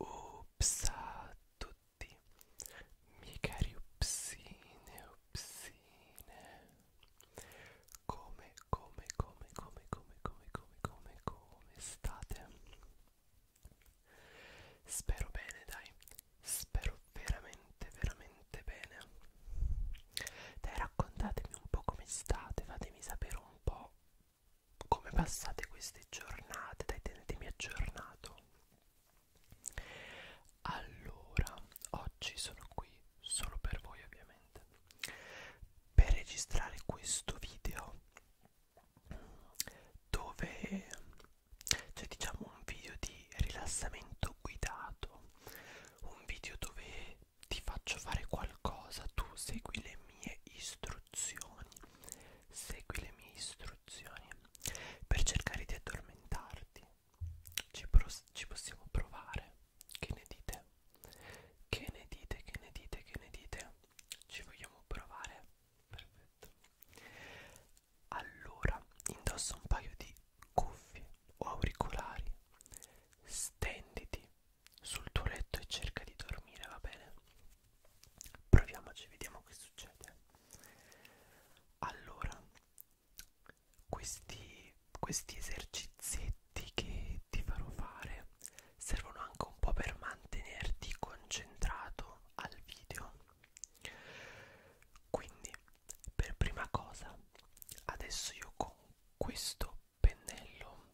Ups a tutti, miei cari upsine, upsine Come, come, come, come, come, come, come, come, come state? Spero bene, dai. Spero veramente, veramente bene. Dai, raccontatemi un po' come state, fatemi sapere un po' come passate queste giornate, dai, tenetemi aggiornato. Allora, oggi sono qui solo per voi ovviamente per registrare questo video dove c'è diciamo un video di rilassamento guidato un video dove ti faccio fare qualcosa tu segui le mie istruzioni segui le mie istruzioni per cercare di addormentarti ci, ci possiamo provare che ne dite che ne dite, che ne dite, che ne dite? Ci vogliamo provare? Perfetto. Allora, indossa un paio di cuffie o auricolari. Stenditi sul tuo letto e cerca di dormire, va bene? Proviamoci, vediamo che succede. Allora, questi, questi esercizi piatti che ti farò fare servono anche un po' per mantenerti concentrato al video quindi per prima cosa adesso io con questo pennello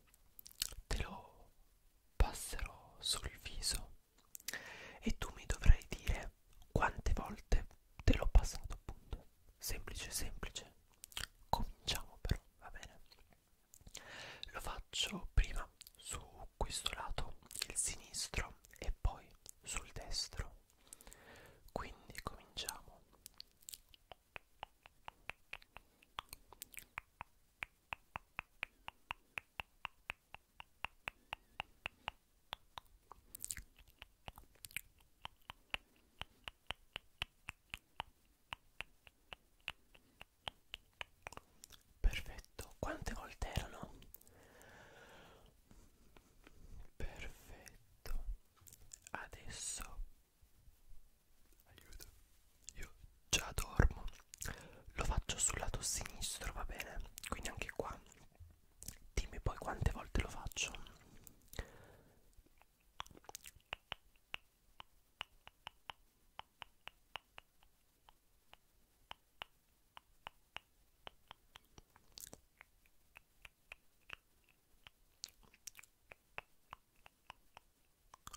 te lo passerò sul viso e tu mi dovrai dire quante volte te l'ho passato appunto semplice semplice cominciamo però va bene lo faccio prima su questo lato il sinistro e poi sul destro quindi cominciamo Perfetto, quante volte erano? Perfetto, adesso aiuto. Io già dormo, lo faccio sul lato sinistro, va bene? Quindi anche qua, dimmi poi quante volte lo faccio.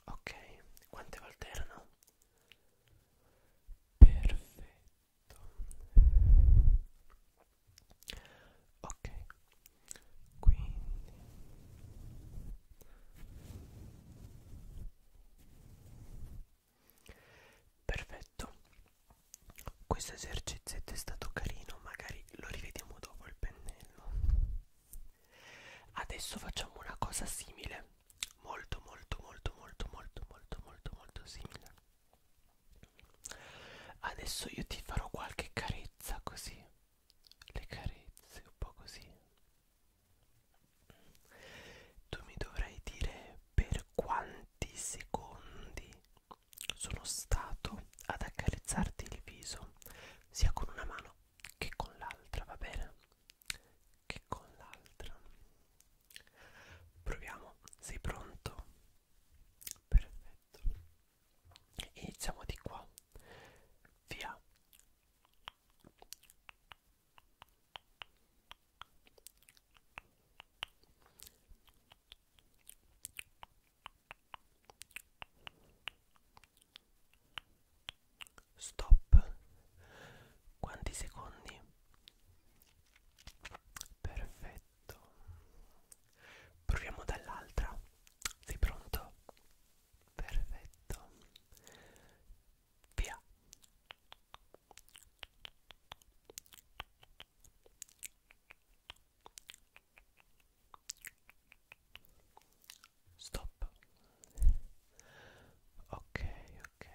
Ok, quante volte erano? Perfetto. Ok, quindi perfetto questo esercizietto è stato carino magari lo rivediamo dopo il pennello adesso facciamo una cosa simile molto molto molto molto molto molto molto molto simile adesso io ti farò qualche carezza così le carezze, un po' così. Tu mi dovrai dire per quanti secondi sono stato ad accarezzarti il viso, sia con una mano che con l'altra, va bene? Che con l'altra. Proviamo, sei pronto? Perfetto iniziamo di qua via Stop. Quanti secondi? Perfetto. Proviamo dall'altra. Sei pronto? Perfetto. Via. Stop. Ok, ok.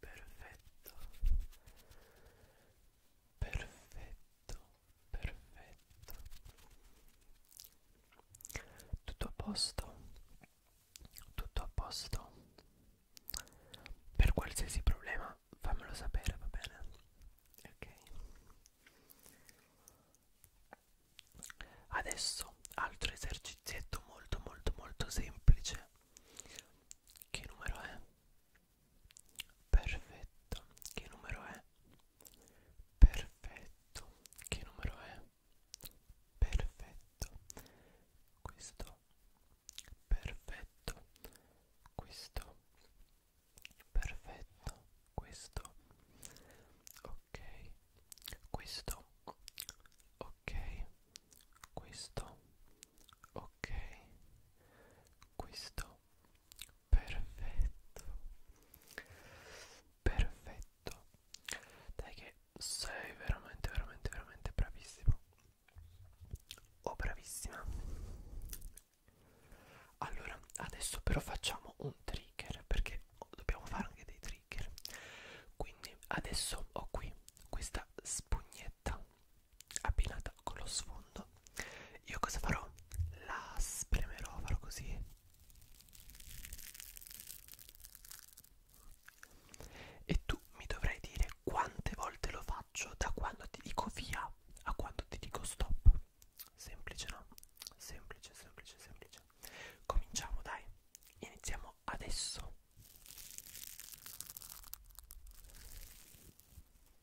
Perfetto. Perfetto perfetto tutto a posto tutto a posto per qualsiasi problema fammelo sapere va bene ok adesso altro esercizietto molto molto molto semplice che numero è Perfetto, che numero è? Perfetto, che numero è? Perfetto, questo, perfetto, questo, perfetto, questo, ok, questo, ok, questo, ok, questo perfetto perfetto dai che sei veramente veramente veramente bravissimo o oh, bravissima allora adesso però facciamo un trigger perché dobbiamo fare anche dei trigger quindi adesso ho qui questa spugnetta abbinata con lo sfondo io cosa farò? la spremerò farò così e tu mi dovrai dire quante volte lo faccio da quando ti dico via a quando ti dico stop semplice no? semplice semplice semplice cominciamo dai iniziamo adesso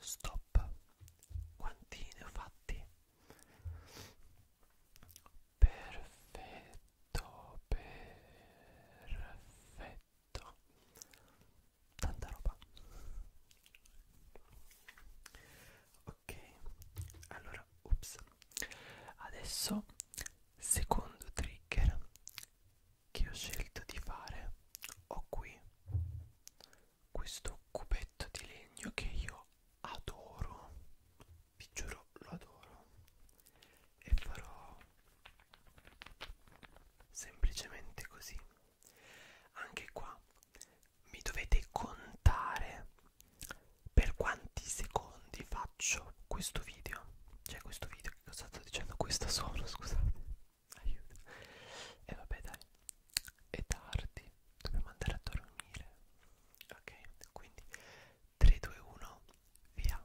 Stop. Quanti ne ho fatti? Perfetto, perfetto. Tanta roba. Ok ok allora ups adesso secondo trigger che ho scelto di fare ho qui questo cubetto di legno che io adoro vi giuro lo adoro e farò semplicemente così anche qua mi dovete contare per quanti secondi faccio questo video cioè questo video che cosa sto dicendo questo sono scusate aiuto e vabbè dai è tardi dobbiamo andare a dormire ok quindi 3 2 1 via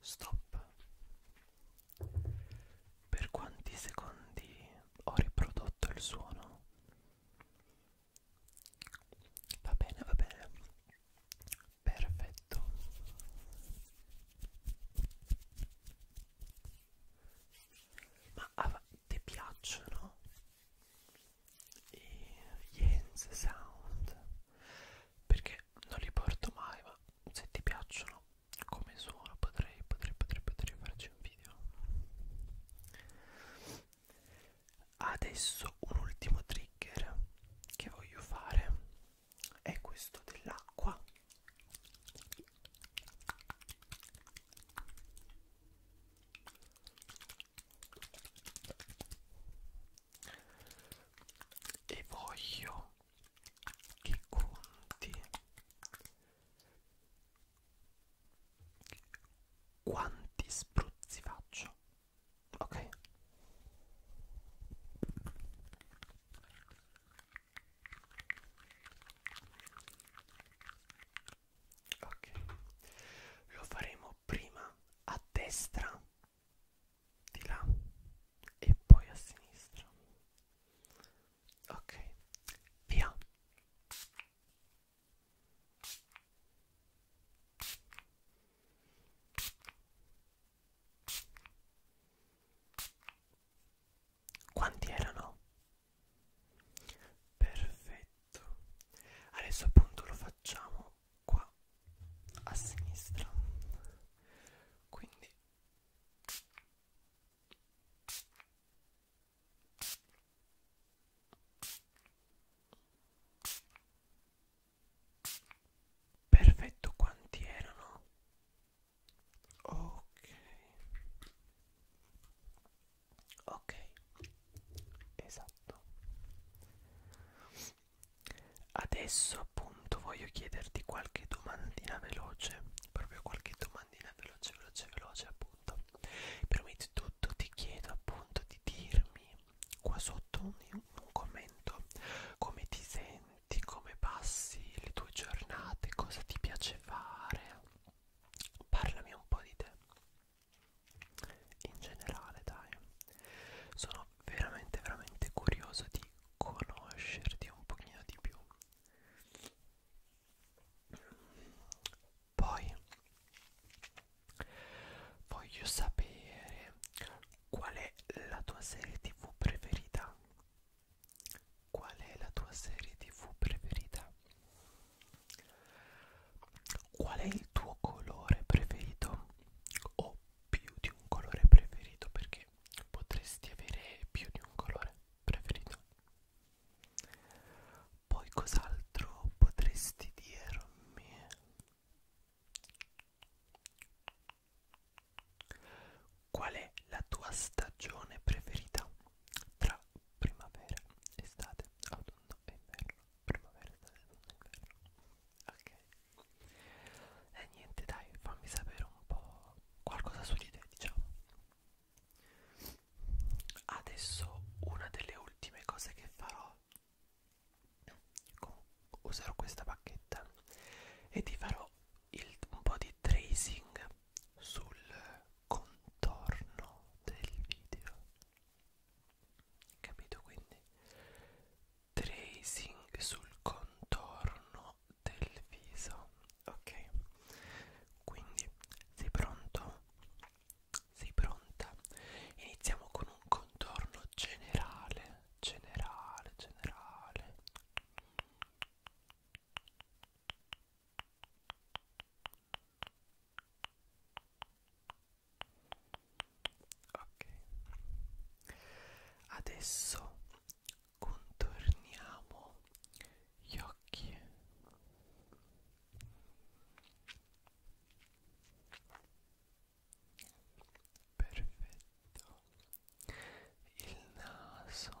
Stop. Per quanti secondi ho riprodotto il suono? Va bene, va bene. Perfetto. Ma ah, ti piacciono i Jens Sound? perché non li porto mai ma se ti piacciono come suono potrei potrei potrei potrei farci un video adesso un ultimo trigger che voglio fare è questo dell'acqua e voglio che conti quanti spruzzi faccio ok ok lo faremo prima a destra di là e poi a sinistra ok via quanti erano? perfetto adesso appunto lo facciamo qua a sinistra quindi perfetto quanti erano ok ok esatto adesso appunto voglio chiederti qualche domandina veloce proprio qualche domandina veloce veloce veloce appunto prima di tutto ti chiedo appunto di dirmi qua sotto un, un commento come ti senti come passi le tue giornate cosa ti piace fare parlami un po' di te in generale dai sono veramente veramente curioso di conoscerti un pochino di più poi voglio sapere qual è la tua serie tv preferita qual è la tua serie tv preferita Qual è il tuo colore preferito? O più di un colore preferito perché potresti avere più di un colore preferito. Poi cos'altro potresti dirmi? Qual è la tua stagione preferita tra primavera, estate, autunno e inverno? primavera, estate, inverno ok e niente dai fammi sapere un po' qualcosa su di te diciamo adesso una delle ultime cose che farò userò questa pacchetta e ti farò il, un po' di tracing sul contorno del video capito quindi tracing sul contorno del viso ok quindi sei pronto sei pronta iniziamo con un contorno generale generale generale Ok, adesso contorniamo gli occhi. Perfetto. Il naso.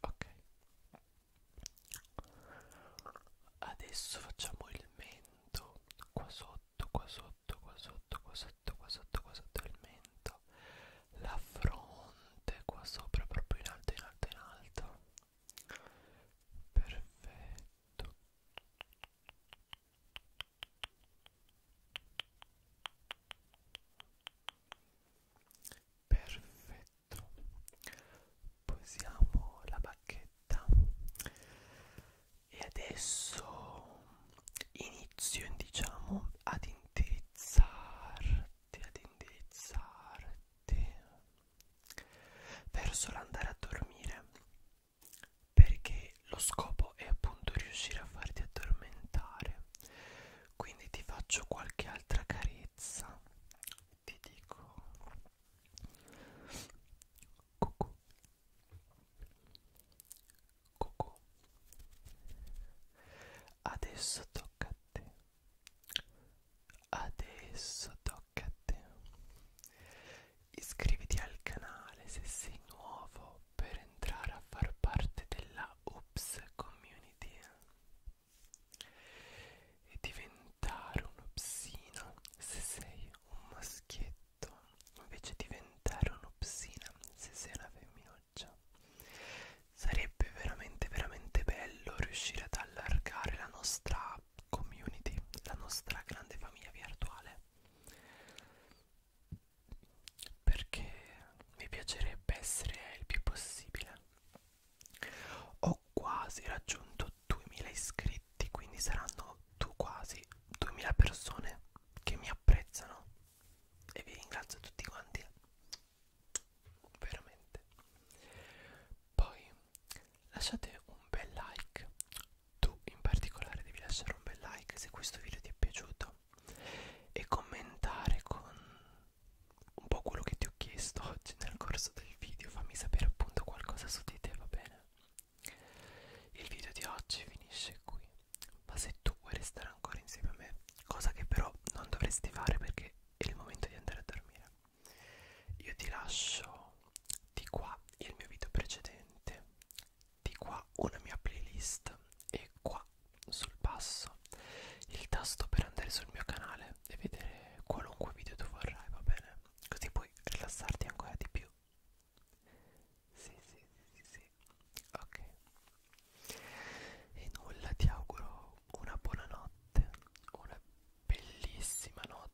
ok adesso facciamo il mento qua sotto qua sotto qua sotto qua sotto qua sotto qua sotto il mento la fronte qua sopra proprio in alto in alto in alto perfetto perfetto posiamo la bacchetta e adesso inizio diciamo ad indirizzarti ad indirizzarti verso l'andare a dormire perché lo scopo è appunto riuscire a farti addormentare quindi ti faccio qualche altra carezza ti dico cucù cucù adesso tocca a te adesso tocca a te Iscriviti al canale se sei nuovo per entrare a far parte della Ups Community e diventare un upsino se sei un maschietto invece diventare un'upsina se sei una femminuccia sarebbe veramente veramente bello riuscire ad allargare la nostra community la nostra grande famiglia virtuale perché mi piacerebbe essere il più possibile ho quasi raggiunto 2000 iscritti quindi saranno tu quasi 2000 persone che mi apprezzano e vi ringrazio tutti quanti veramente poi lasciate un bel like tu in particolare devi lasciare un bel like se questo video ti è piaciuto e commentare con un po' quello che ti ho chiesto oggi nel corso del video, fammi sapere appunto qualcosa su di te, va bene? Il video di oggi finisce qui, ma se tu vuoi restare ancora insieme a me, cosa che però non dovresti fare perché è il momento di andare a dormire, io ti lascio di qua il mio video precedente di qua una mia playlist e qua sul basso il tasto per andare sul mio canale e vedere qualunque video tu vorrai, va bene? Così puoi rilassarti ancora di più. Sì, sì, sì, sì, sì. Ok. E nulla, ti auguro una buona notte, una bellissima notte